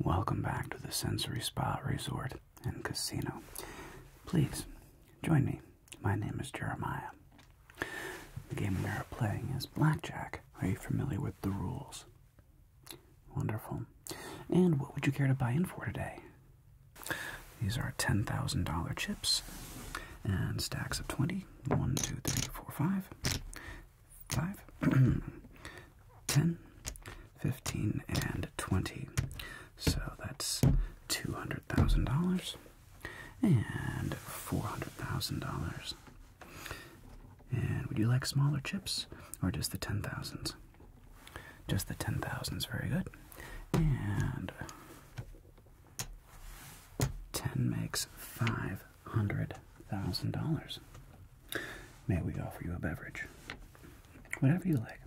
Welcome back to the Sensory Spa Resort and Casino. Please join me. My name is Jeremiah. The game we are playing is Blackjack. Are you familiar with the rules? Wonderful. And what would you care to buy in for today? These are $10,000 chips and stacks of 20. 1, 2, 3, 4, 5. 5, 10, 15, and 20. So that's $200,000 and $400,000. And would you like smaller chips or just the 10,000s? Just the 10,000s, very good. And 10 makes $500,000. May we offer you a beverage? Whatever you like.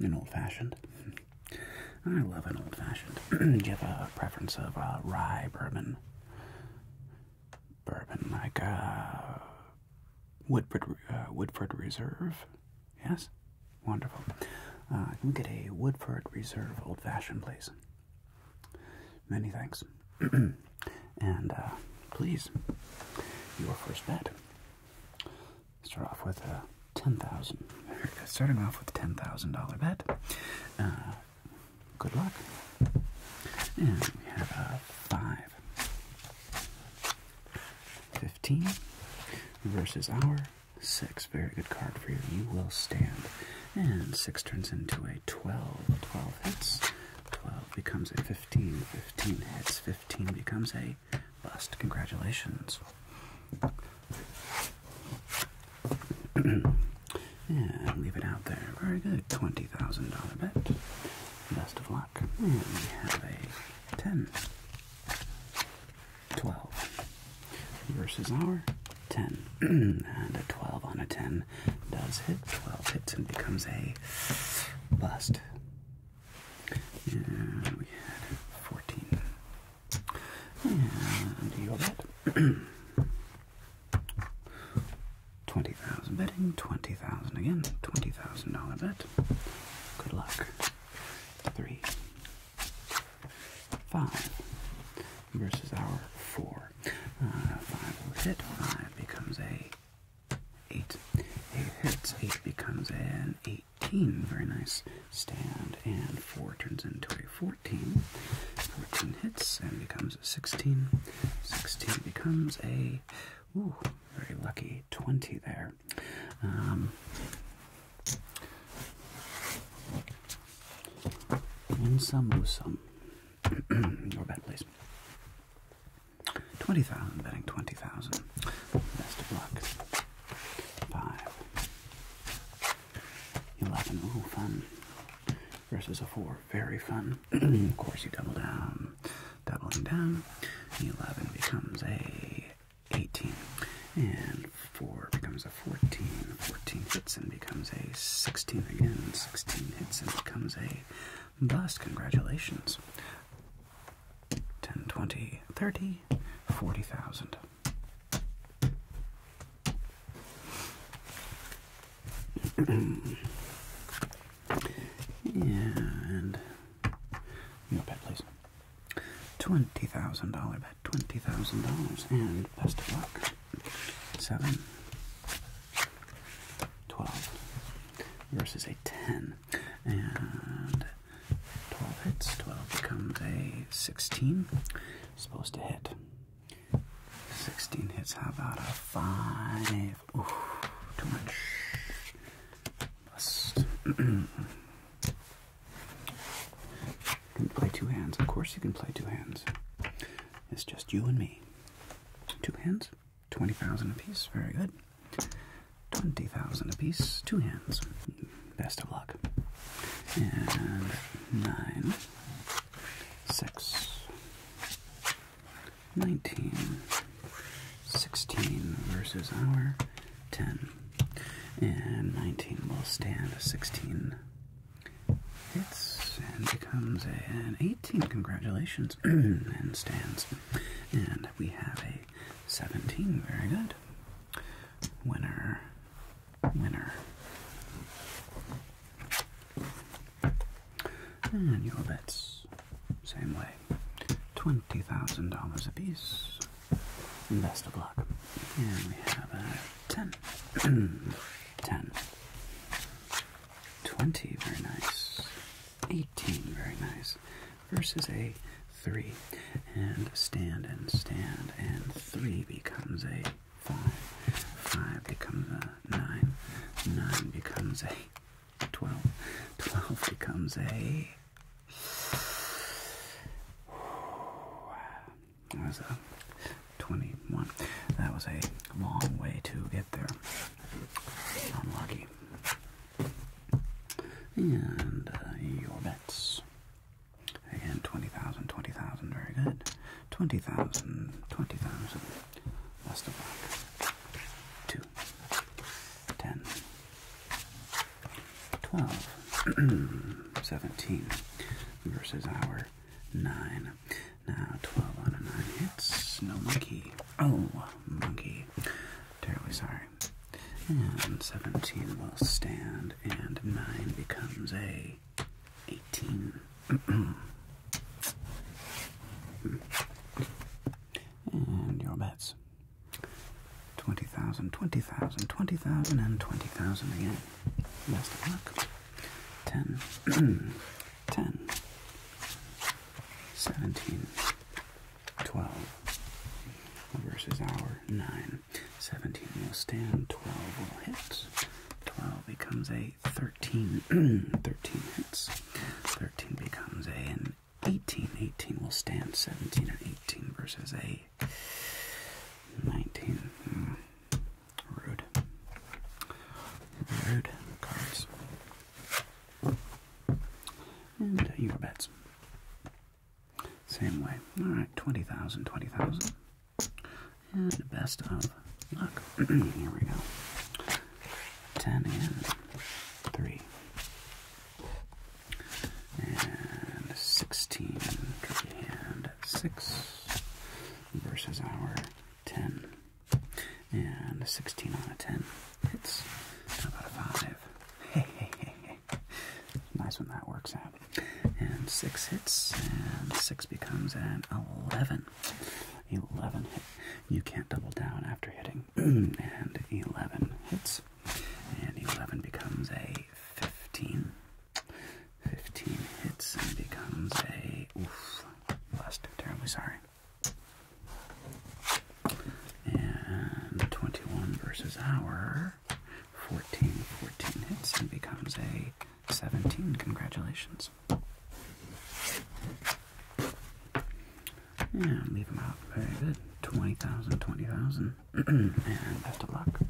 An old fashioned. I love an old fashioned. Do you have a preference of uh, rye bourbon? Bourbon like a uh, Woodford, uh, Woodford Reserve? Yes? Wonderful. Uh, I can get a Woodford Reserve Old Fashioned, please. Many thanks. and uh, please, your first bet. Start off with a ten thousand. Starting off with ten thousand dollar bet. Uh, good luck. And we have a five. Fifteen versus our Six, very good card for you. You will stand. And six turns into a 12. 12 hits. 12 becomes a 15. 15 hits. 15 becomes a bust. Congratulations. and leave it out there. Very good. $20,000 bet. Best of luck. And we have a 10. 12 versus our 10. and a 12 on a 10 does hit. 12 hits and becomes a bust. And we had 14. And you that? 20,000 betting, 20,000 again, $20,000 bet. Good luck three, five versus our four. Uh, five hits Five becomes a eight. Eight hits. Eight becomes an eighteen. Very nice stand. And four turns into a fourteen. Fourteen hits and becomes a sixteen. Sixteen becomes a ooh, very lucky twenty there. Um, some, lose some. Your bet, please. 20,000, betting 20,000. Best of luck. 5. 11. Ooh, fun. Versus a 4. Very fun. of course, you double down. Doubling down. The 11 becomes a 18. And 4 becomes a 14. 14 hits and becomes a 16 again. 16 hits and becomes a bust. Congratulations. 10, 20, 30, 40,000. and. No pet, please. $20,000 bet, $20,000, and best of luck. 7, 12 versus a 10, and 12 hits, 12 becomes a 16, supposed to hit. 16 hits, how out of 5? too much. Bust. You can play two hands. Of course you can play two hands. It's just you and me. Two hands, 20,000 apiece. Very good. 20,000 apiece, two hands. Best of luck. And nine, six, nineteen, 16 versus our 10. And 19 will stand 16 hits and becomes an 18. Congratulations. and stands. And we have a 17. Very good. Winner. Winner. And your bets. Same way. Twenty thousand dollars a piece. of luck. Here we have a ten. ten. Twenty, very nice. Eighteen, very nice. Versus a three. And stand and stand and three becomes a five. Five becomes a nine. Nine becomes a 12. 12 becomes a that was a 21. That was a long way to get there. Unlucky. And uh, your bets. Again, 20,000, 20,000, very good. 20,000, 20,000. Less the 2, 10, 12, 17 versus our 9. Now 12 on a 9 hits. No monkey. Oh, monkey. Terribly sorry. And 17 will stand, and 9 becomes a 18. and your bets. 20,000, 20,000, 20,000, and 20,000 again. Best of luck. 10, 10, 17, 12 versus our 9. 17 will stand, 12 will hit. 12 becomes a 13, 13 hits. 13 becomes a, 18. 18 will stand 17 and 18 versus a 19. Hmm. Rude. Rude cards. And uh, your bets. Same way. Alright, 20,000, 20,000. And best of luck. Here we go. 10 and 3. And 16, and 6 versus our 10. And 16 out of 10 hits. about a 5? hey. Nice when that works out. And 6 hits, and 6 becomes an 11. 11 hit. You can't double down after hitting. and 11 hits. And 11 becomes a 15. 15 hits and becomes a. Oof. Blessed. Terribly sorry. And the 21 versus our 14. 14 hits and becomes a 17. Congratulations. Yeah, leave them out. Very good. 20,000, 20,000. and best of luck.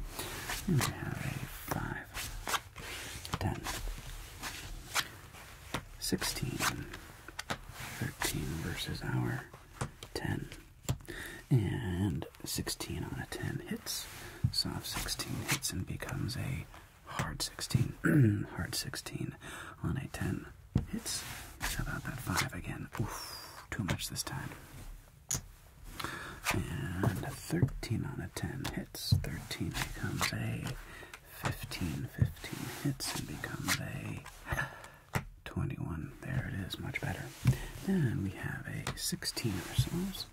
we have a 5, 10, 16, 13 versus our 10. And 16 on a 10 hits. Soft 16 hits and becomes a hard 16. hard 16 on a 10. Hits. about that five again? too much this time. And 13 on a 10 hits. 13 becomes a 15. 15 hits and becomes a 21. There it is, much better. Then we have a 16 ourselves.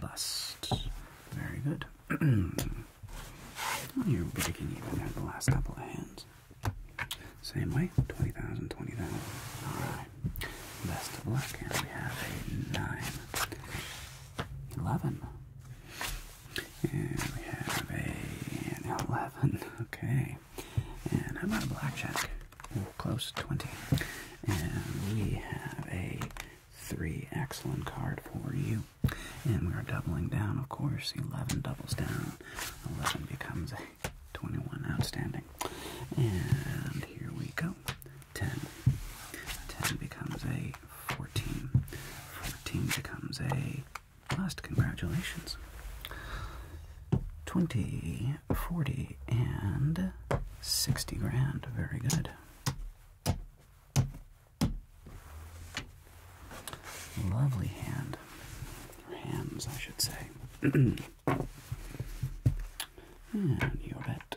Bust. Very good. You're breaking even there the last couple of hands. Same way, 20,000, 20,000. Alright. Best of luck. Here we have a 9, And we have a, 11. Okay. And I'm about a blackjack? Close to 20. And we have a 3. Excellent card for you. And we are doubling down, of course. 11 doubles down. 11 becomes a 21 outstanding. And here we go. 10. 10 becomes a 14. 14 becomes a Last Congratulations. 20, 40, and 60 grand. Very good. Lovely hand. hands, I should say. and your bet.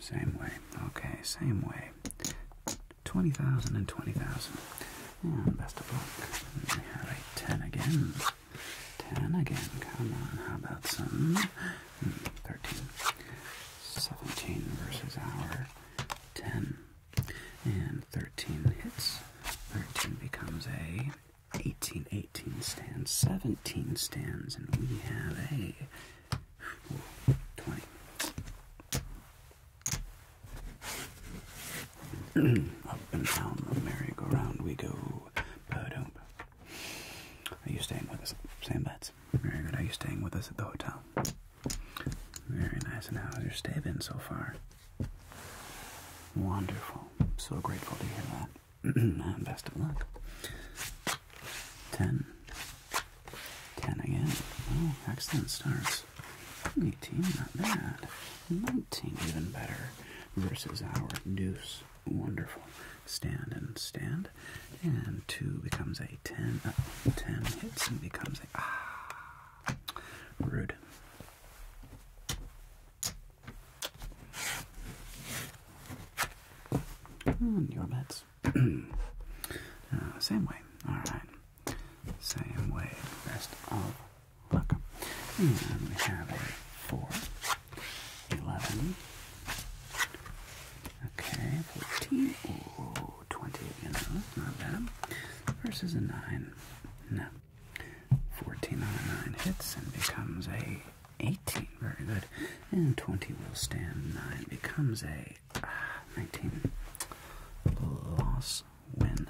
Same way. Okay, same way. 20,000 and 20,000. And best of luck. We have a 10 again. 10 again. Come on, how about some? Hmm, 13. 17 versus our 10. And 13 hits. 13 becomes a 18, 18 stands, 17 stands, and we have a 20. Up and down the merry go we go. ba Are you staying with us? Sam bets. Very good. Are you staying with us at the hotel? Very nice. And has your stay been so far? Wonderful. So grateful to hear that. Best of luck. 10. 10 again. Oh, excellent starts. 18, not bad. 19, even better. Versus our deuce. Wonderful. Stand and stand. And 2 becomes a 10. Uh, 10 hits and becomes a. Ah. Rude. Hmm, your bets. Uh, same way. Alright. Same way. Best of luck. And we have a 4, 11, okay, 14, oh, 20, you know, not bad. Versus a 9. No, 14 on 9 hits and becomes a 18. Very good. And 20 will stand. 9 becomes a ah, 19. Loss, win.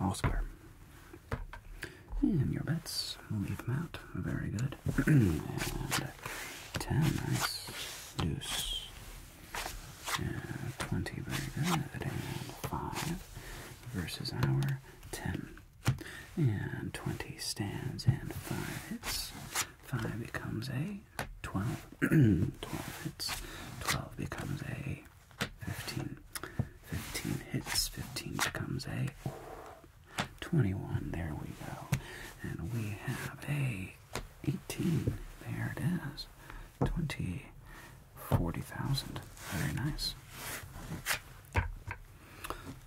All square. And your bets, we'll leave them out. Very good. and 10, nice. Deuce. Uh, 20 very good. And 5 versus our 10. And 20 stands and 5 hits. 5 becomes a 12. 12 hits. 12 becomes a 15. 15 hits. 15 becomes a 21. There we go. And we have a 18. There it is. 20, 40,000. Very nice.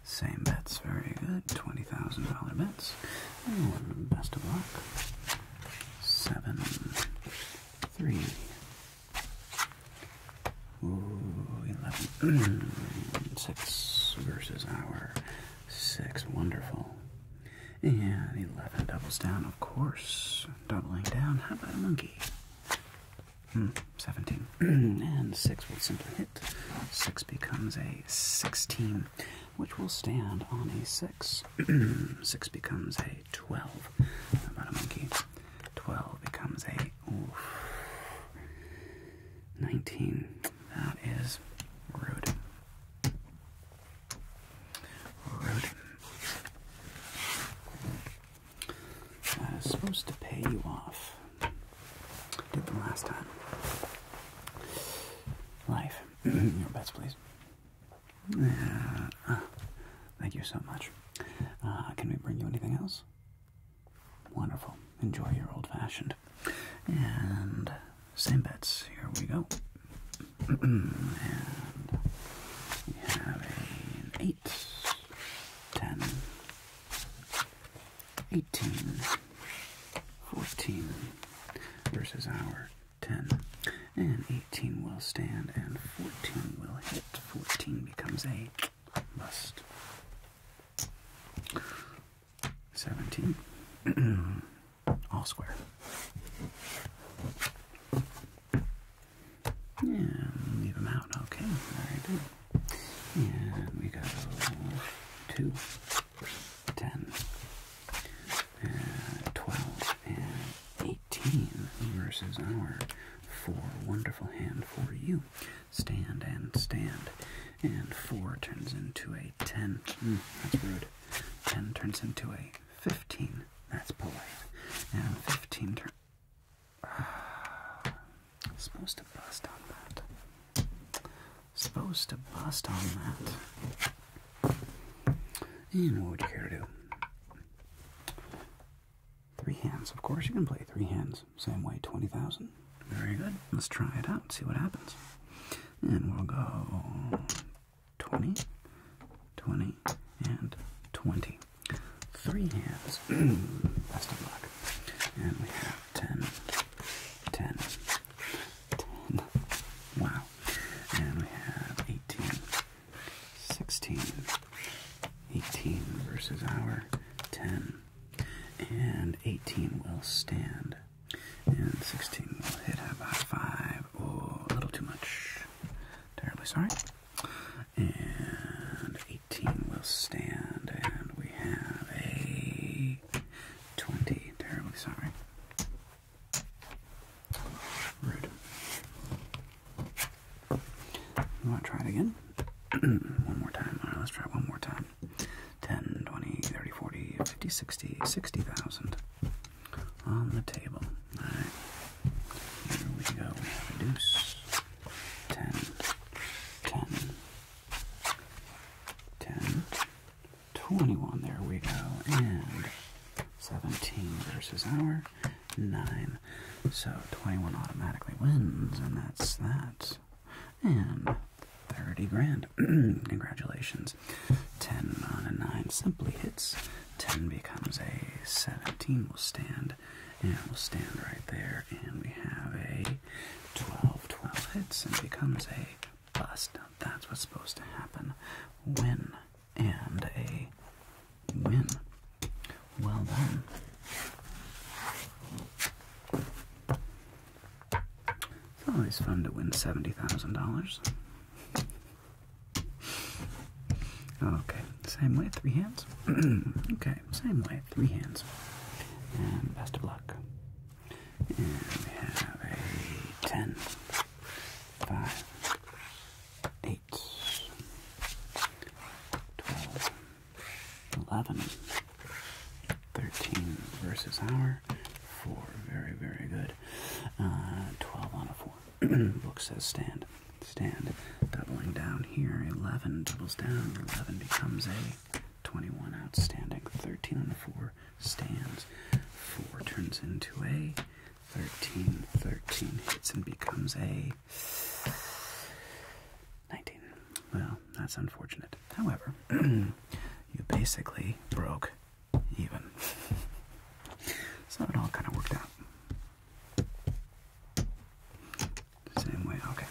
Same bets, very good. $20,000 bets. best of luck. Seven, three. 11. six versus our six. Wonderful. And 11 doubles down, of course. Doubling down. How about a monkey? Hmm, 17. and 6 will simply hit. 6 becomes a 16, which will stand on a 6. 6 becomes a 12. How about a monkey? 12 becomes a 19. That is rude. I was supposed to pay you off. Did the last time. Life. Your best, please. Uh, thank you so much. Uh, can we bring you anything else? Wonderful. Enjoy your old fashioned. And same bets. Here we go. we have an 8, 18, 14 versus our 10. And 18 will stand and 14 will hit. 14 becomes a bust. 17. all square. And leave them out. Okay, very we go two, ten, and uh, twelve, and eighteen versus our four. Wonderful hand for you. Stand and stand. And four turns into a ten. Hmm, that's rude. Ten turns into a 15. That's polite. Now 15 ah, supposed to bust on that. Supposed to bust on that. And what would you care to do? Three hands. Of course, you can play three hands. Same way, 20,000. Very good. Let's try it out, see what happens. And we'll go 20, 20, and 20. Three hands. Best of luck. And we have 10, 10, 10. Wow. And we have 18, 16, 18 versus our 10. And 18 will stand. And 16 will hit about 5. or oh, a little too much. Terribly sorry. And 18 will stand. And we have a 20. Terribly sorry. Rude. want to try it again? one more time. Alright, let's try it one more time. 10, on the table. Alright. Here we go. We have a deuce. Ten. Ten. Twenty-one. There we go. And seventeen versus our nine. So twenty-one automatically wins, and that's that. And thirty grand. Congratulations. 10 on a 9 simply hits. 10 becomes a 17. We'll stand, and we'll stand right there. And we have a 12. 12 hits and becomes a bust. that's what's supposed to happen. Win. And a win. Well done. It's always fun to win $70,000. Okay, same way, three hands. okay, same way, three hands. And best of luck. And we have a 10, twelve, eleven, thirteen versus our 4. Very, very good. Uh, 12 on a 4. Book says stand. Stand. Doubling down here. 11 doubles down. 11 becomes a 21. Outstanding. 13 on a 4 stands. 4 turns into a 13. 13 hits and becomes a 19. Well, that's unfortunate. However, you basically broke even. so it all kind of worked out. Same way, okay.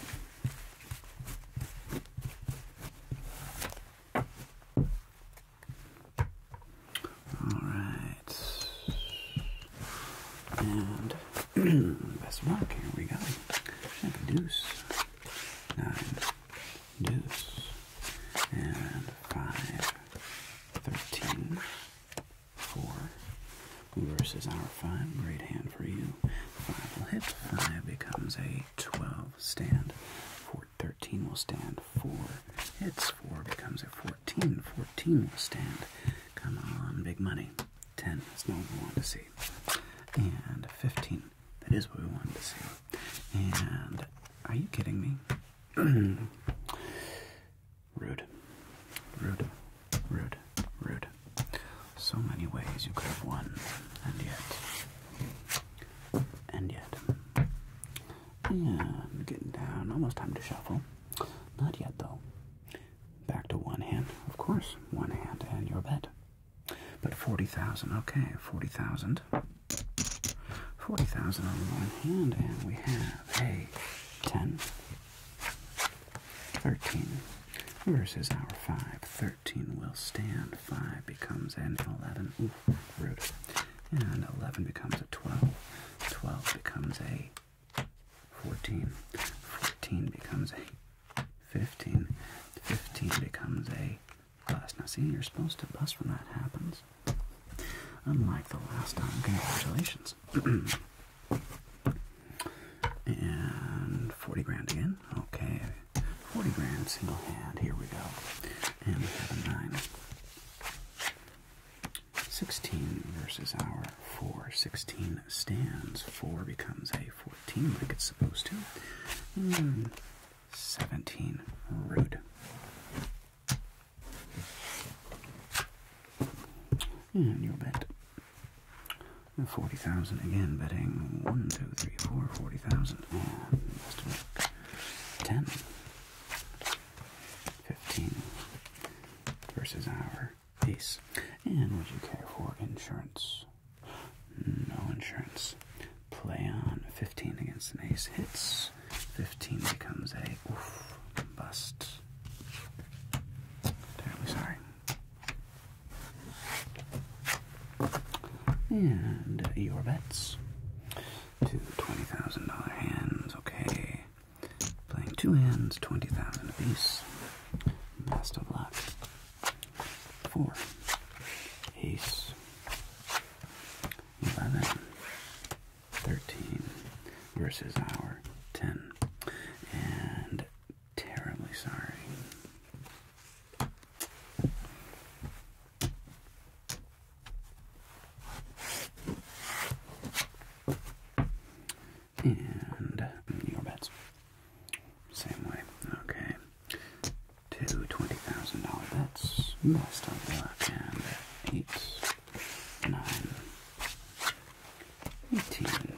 Alright. And best of luck, here we go. Introduce nine deuce, and five, thirteen, four versus our five. Great hand for you. Five will hit. Five becomes a twelve stand. Four, thirteen will stand. Four hits. Four becomes a fourteen. Fourteen will stand. Come on, big money. Ten. is not what we want to see. And fifteen. That is what we wanted to see. And are you kidding me? rude, rude, rude, rude. So many ways you could have won, and yet, and yet. Yeah, getting down. Almost time to shuffle. Not yet, though. Back to one hand, of course. One hand and your bet. But 40,000, okay, 40,000. 40,000 on one hand, and we have a 10, 13 versus our 5. 13 will stand, 5 becomes an 11, ooh, root, and 11 becomes a 12, 12 becomes a 14, 14 becomes a 15, 15 becomes a bust. Now, see, you're supposed to bust when that happens. Unlike the last time. Congratulations. and 40 grand again. Okay. 40 grand single hand. Here we go. And we have a 9. 16 versus our 4. 16 stands. 4 becomes a 14 like it's supposed to. Hmm. 17 rude. And you'll bet 40,000 again, betting 1, 2, 3, 4, 40,000. And 10, 15 versus our piece. And would you care for insurance? No insurance play on 15 against an ace hits. 15 becomes a bust. Terribly sorry. And your bets. Two $20,000 hands, okay. Playing two hands, 20,000 apiece. Best of Four. Ace. 11, 13 versus our 10. And terribly sorry. And your bets. Same way. Okay two twenty thousand dollar bets. Most of the left hand eight, nine, eighteen,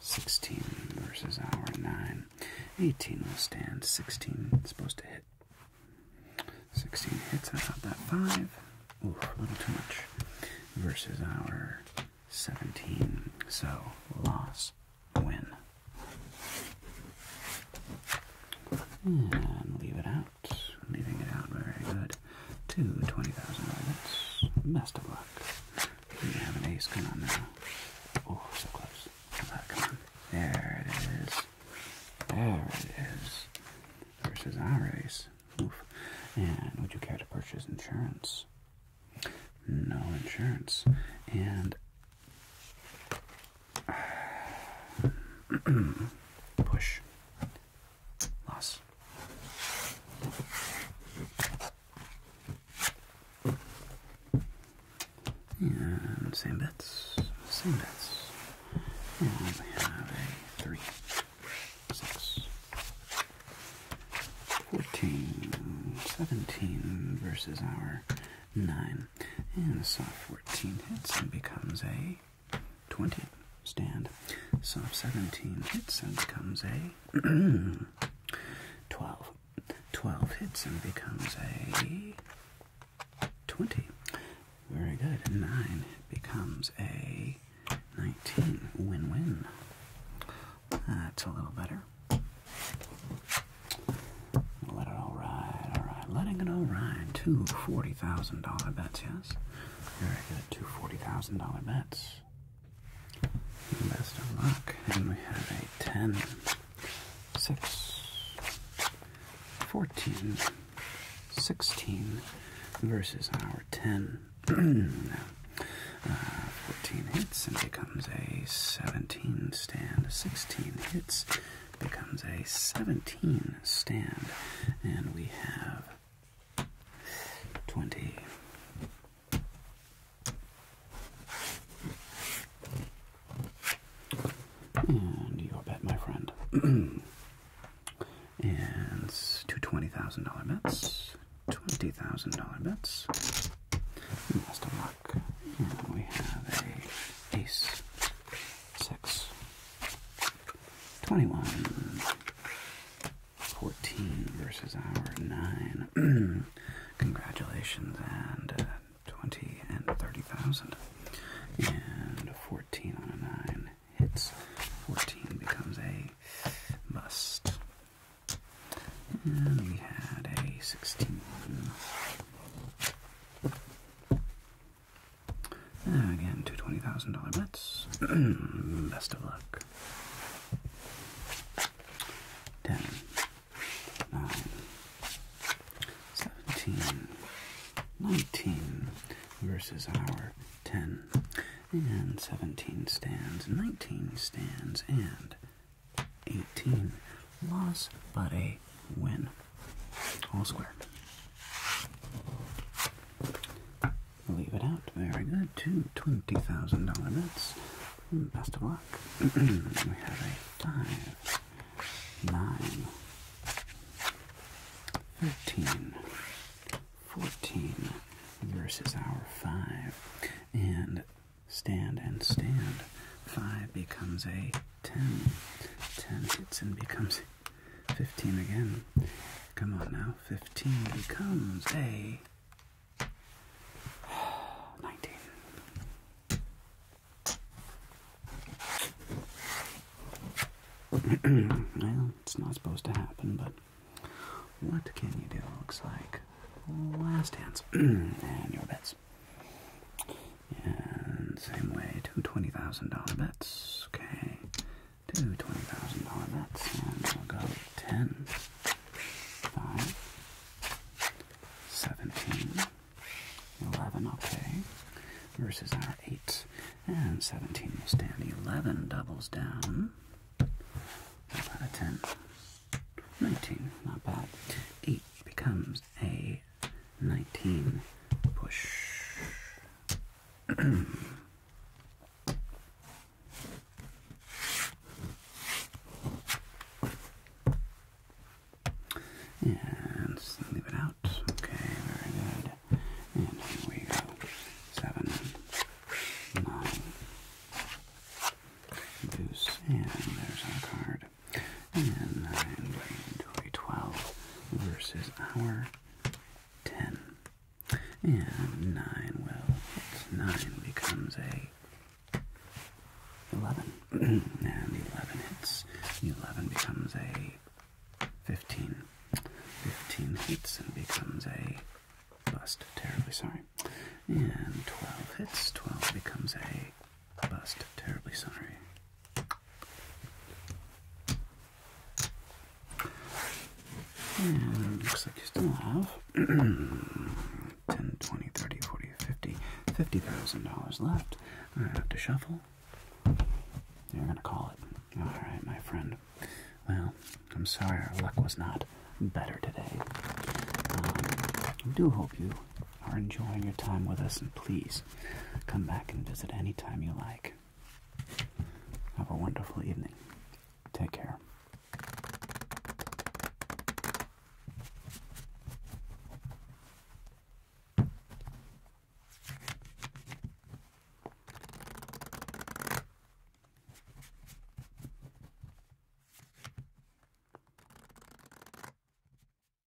sixteen versus our nine. Eighteen will stand. Sixteen supposed to hit. Sixteen hits. I got that five. Ooh, a little too much. Versus our seventeen. So loss, win. And leave it out. Leaving it out very good. Two 20,000 units. Best of luck. We have an ace. Come on now. Oh, so close. Come on, There it is. There it is. Versus our ace. Oof. And would you care to purchase insurance? No insurance. And Push. Loss. And same bets. Same bets. we have a 3, 6, 14, 17 versus our 9, and a soft 14 hits and becomes a 20 stand. Soft 17 hits and becomes a 12. 12 hits and becomes a 20. Very good. 9 becomes a 19. Win win. That's a little better. Let it all ride, all right. Letting it all ride. Two $40,000 bets, yes? Very good. Two $40,000 bets. Best of luck. And we have a 10, 6, 16 versus our 10. Uh, 14 hits and becomes a 17 stand. 16 hits becomes a 17 stand, and we have 20. And your bet, my friend. and two $20,000 bets, $20,000 bets. Best luck. we have a ace. 6, 21, 14 versus our 9. Congratulations, and uh, 20 and 30,000. And 14 on a 9 hits. 14 becomes a bust. And we had a 16. And ah, again, two twenty thousand dollar bets. Best of luck. Ten, nine, seventeen, nineteen versus our ten, and seventeen stands, nineteen stands, and eighteen. Loss, but a win. All square. Leave it out. Very good. Two twenty thousand $20,000 bets. Hmm, best of luck. we have a 5, 9, versus our 5. And stand and stand. 5 becomes a 10, hits and becomes 15 again. Come on now, 15 becomes a 19. well, it's not supposed to happen, but what can you do? Looks like last hands and your bets. And same way, two $20,000 bets. Okay, two $20,000 bets. And we'll go 10, 17, 11. Okay, versus our 8. And 17 will stand. 11 doubles down. How about a 10? 19, not bad. 8 becomes a 19 push. And leave it out. Okay, very good. And here we go. Seven, nine, deuce, and there's our card. And I'm 12 versus our 10. And 9 will 9 becomes a 11. and 11 hits. 11 becomes a 15. 15 hits and becomes a bust. Terribly sorry. And 12 hits. 12 becomes a bust. Terribly sorry looks like you still have 10, dollars left. I have to shuffle. You're going to call it. All right, my friend. Well, I'm sorry our luck was not better today. Um, I do hope you are enjoying your time with us, and please come back and visit anytime you like. Have a wonderful evening. Take care.